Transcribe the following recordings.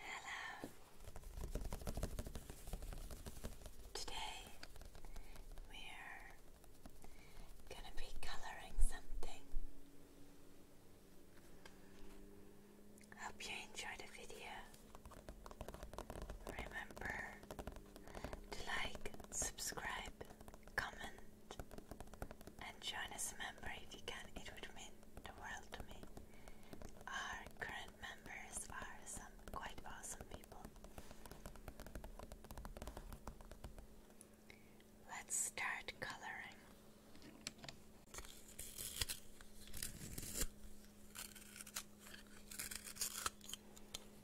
Hello. Today we're going to be colouring something. Hope you enjoyed the video. Remember like, subscribe, comment, and join as a member if you can. It would mean the world to me. Our current members are some quite awesome people. Let's start coloring.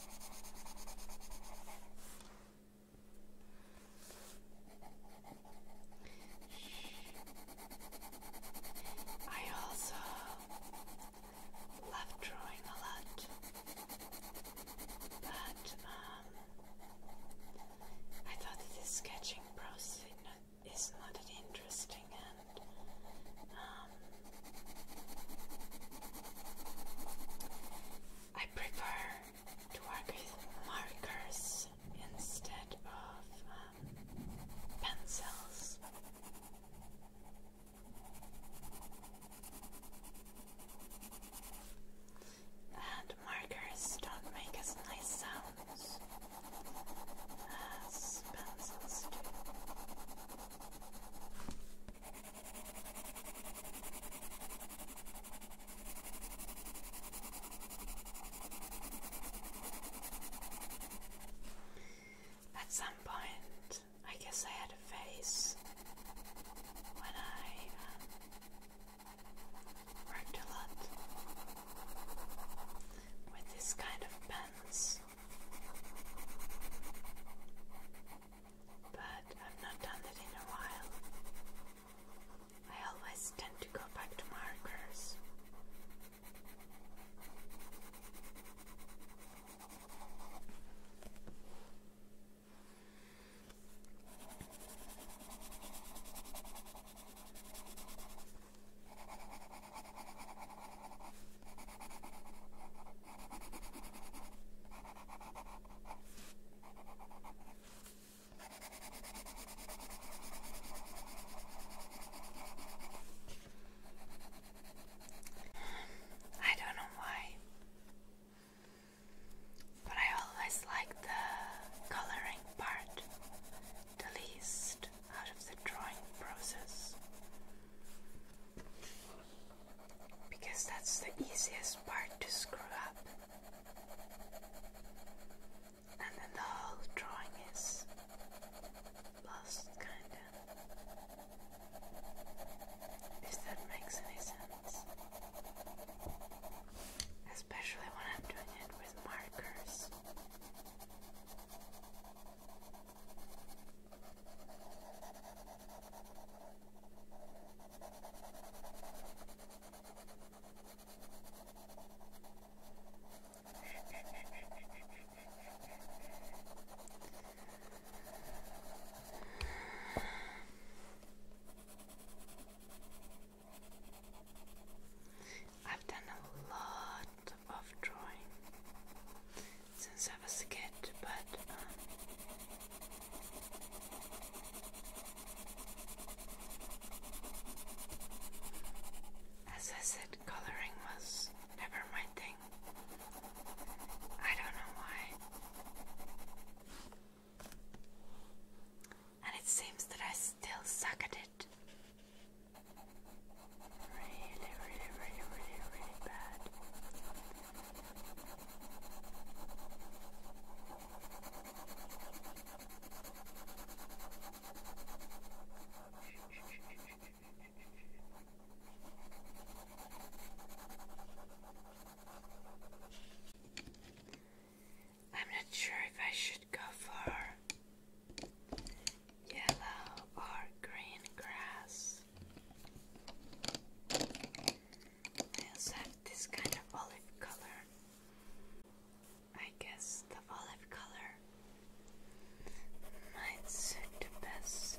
I also love drawing a lot, but um, I thought that the sketching process is not that interesting and um, I prefer to work with markers instead of um, pencils. And markers don't make as nice sounds as pencils do. At some point, I guess I had a phase when I um, a lot with this kind of pens but I've not done that in a while. I always tend to go back to markers. I don't know why, but I always like the coloring part the least out of the drawing process because that's the easiest part to screw up. And then the whole drawing is lost, kinda. If that makes any sense. Especially when I'm doing it with markers. I've done a lot of drawing since I was a kid, but uh, as I said, coloring was never my thing. I don't know why. And it seems that I still suck at it. Really, really, really, really, really bad. I'm not sure if I should go for yellow or green grass. I also have this kind of olive color. I guess the olive color might suit best.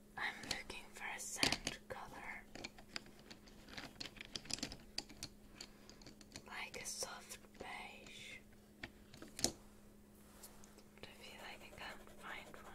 I'm looking for a sand color. Like a soft beige. But I feel like I can't find one.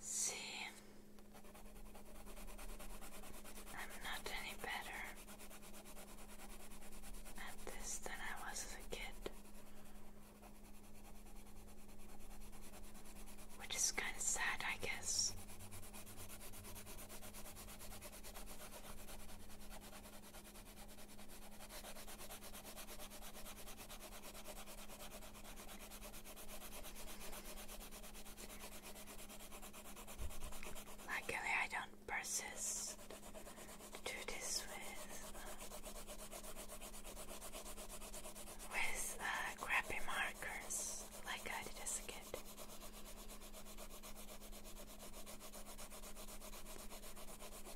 See, I'm not any better at this than I was as a kid, which is kind of sad, I guess. Luckily, I don't persist to do this with with uh, crappy markers like I did as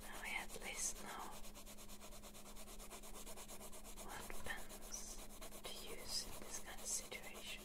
Now we at least know what pens to use in this kind of situation.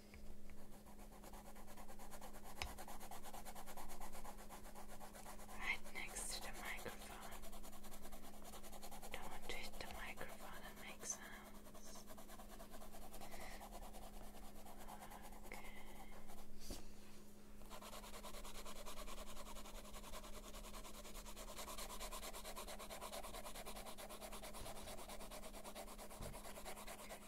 Right next to the microphone. Don't hit the microphone and make sounds. Okay.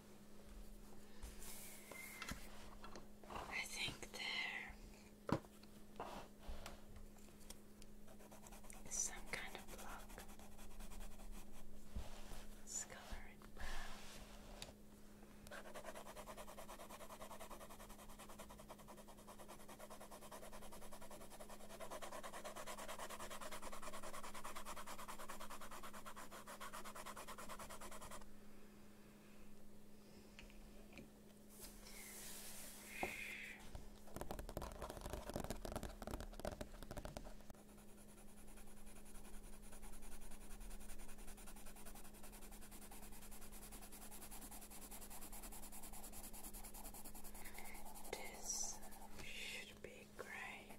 I think there is some kind of block. Let's brown. This should be great.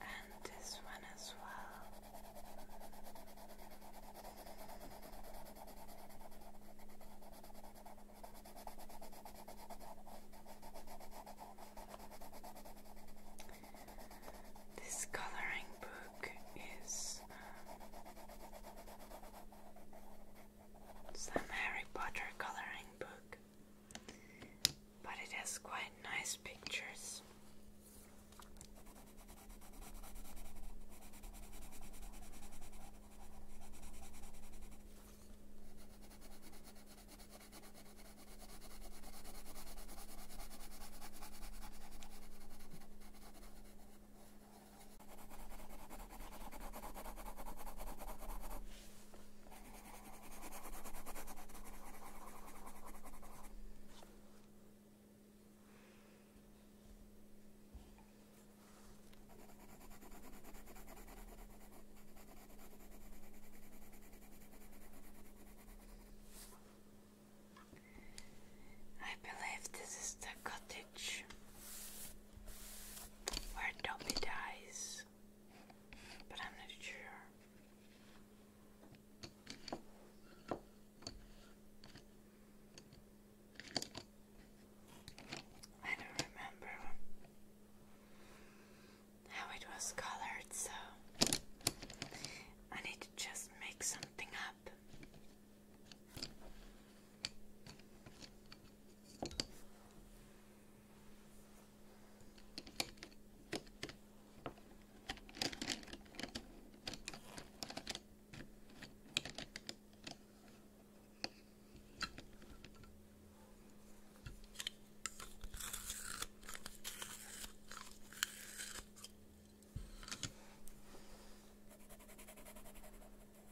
and this one as well. This coloring book is um, some Harry Potter coloring book but it has quite nice pictures. I believe this is the cottage where Dobby dies, but I'm not sure. I don't remember how it was colored, so I need to just make something up.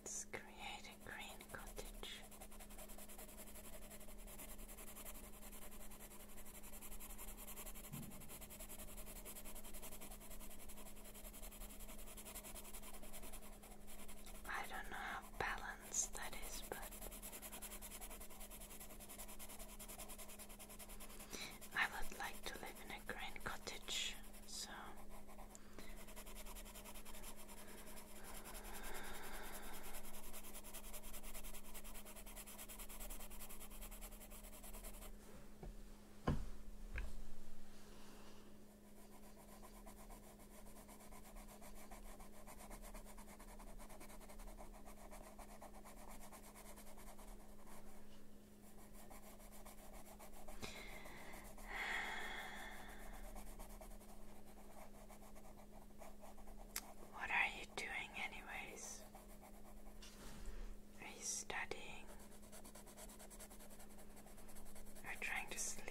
Let's create a green cottage. I don't know how balanced that is, but I would like to live in a grain cottage, so what are doing, anyways? Are you studying? Or trying to sleep?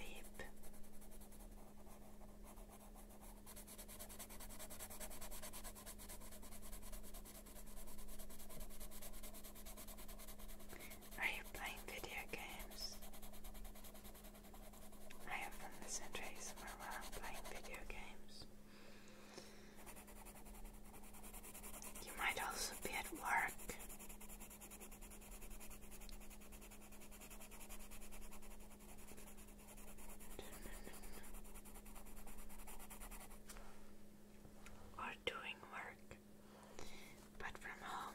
Are you playing video games? I have often listen to ASMR while I'm playing video games. You might also be at work. Or doing work, but from home.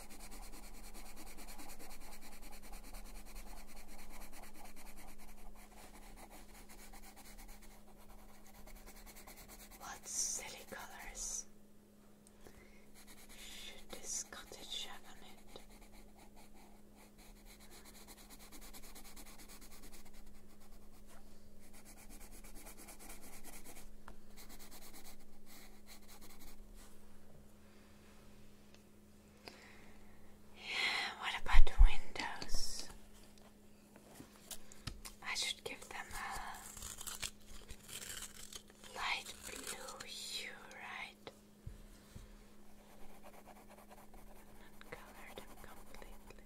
What silly colors! Should this cottage have on it? What about the windows? I should give them a light blue hue, right? Not color them completely.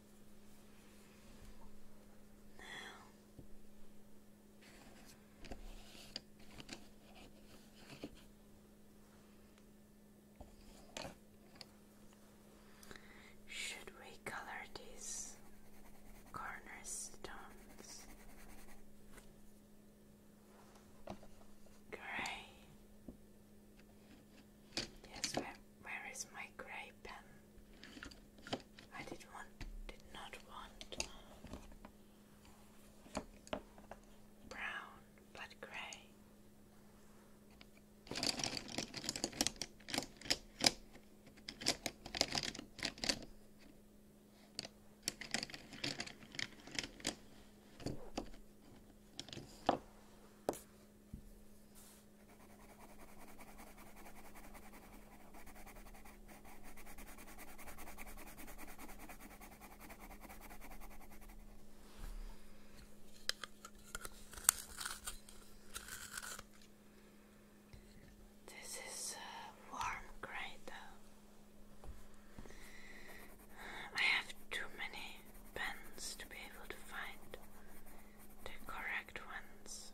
should we color these cornerstones? Gray. Yes, where, where is my grey pen? I did want, did not want brown, but grey. This is a uh, warm cradle. I have too many pens to be able to find the correct ones.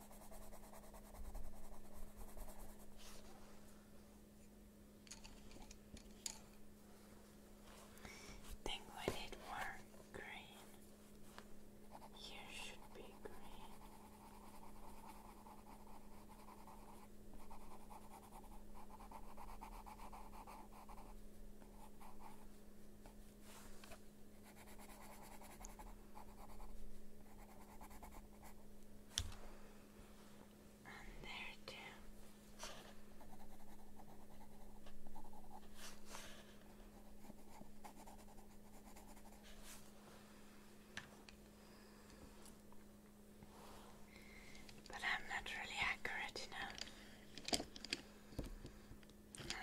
Think we need more green. Here should be green there too. But I'm not really accurate enough.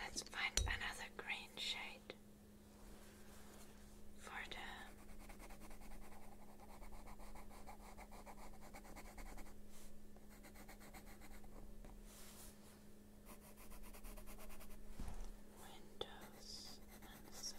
Let's find another green shade for the windows and such.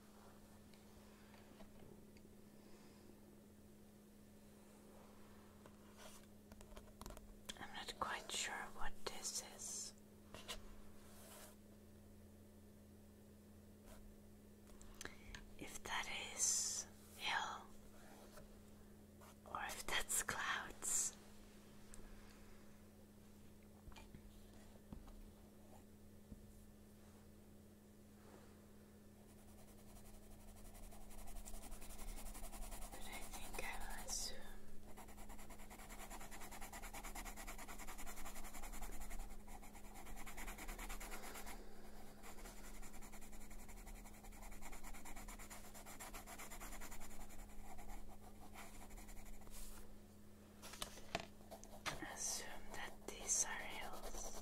I'm not quite sure what this is. If that is hill or if that's clouds. But I think I will assume Assume that these are hills.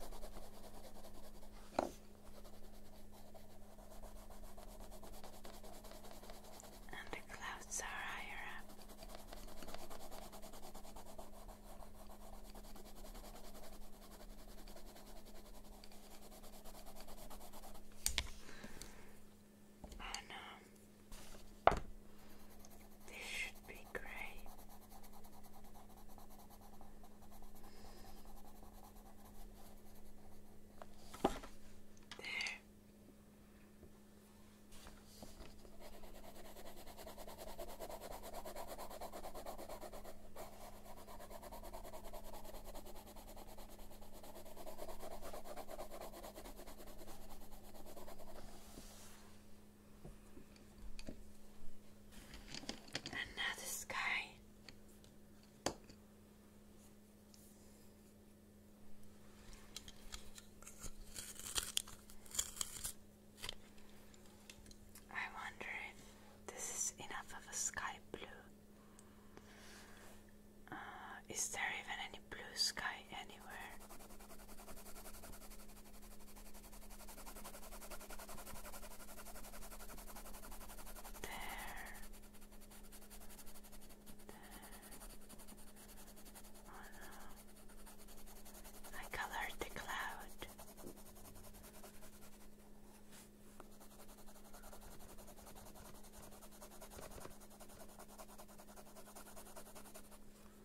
And the clouds are higher up. Oh no, this should be great. There. Another sky. I wonder if this is enough of a sky blue. Uh, is there even any blue sky anywhere. There. There. I colored the cloud.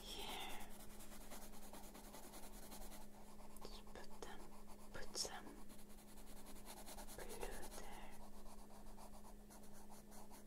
here. Just put them, put some blue there. Blue, blue, blue.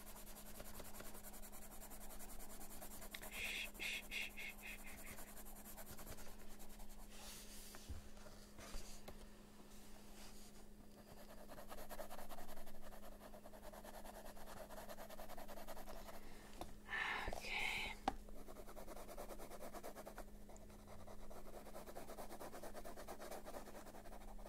Shh, shh, shh, shh, shh. Okay.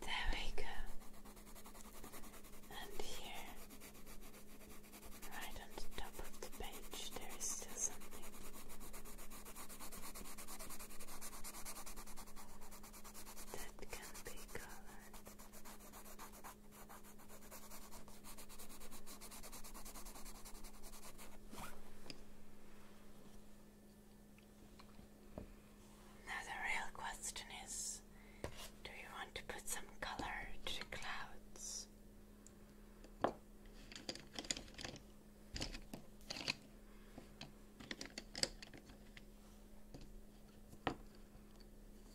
There we go. And here, right on the top of the page, there is still something. That can be colored. Now the real question is, do you want to put some color to the clouds?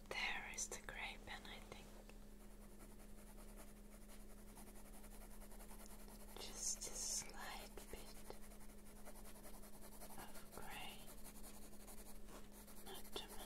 There is the grape, and I think. Just a slight bit of grey, not too much.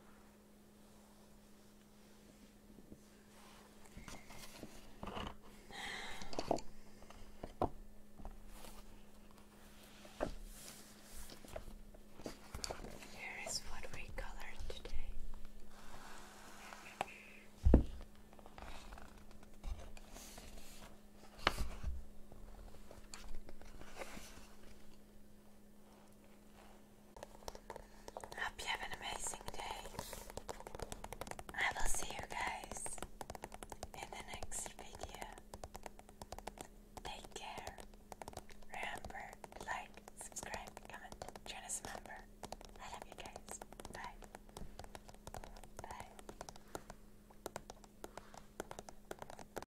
Here is what we colored today hope you have an amazing day. I will see you guys in the next video. Take care. Remember like, subscribe, comment, join us member. I love you guys. Bye. Bye.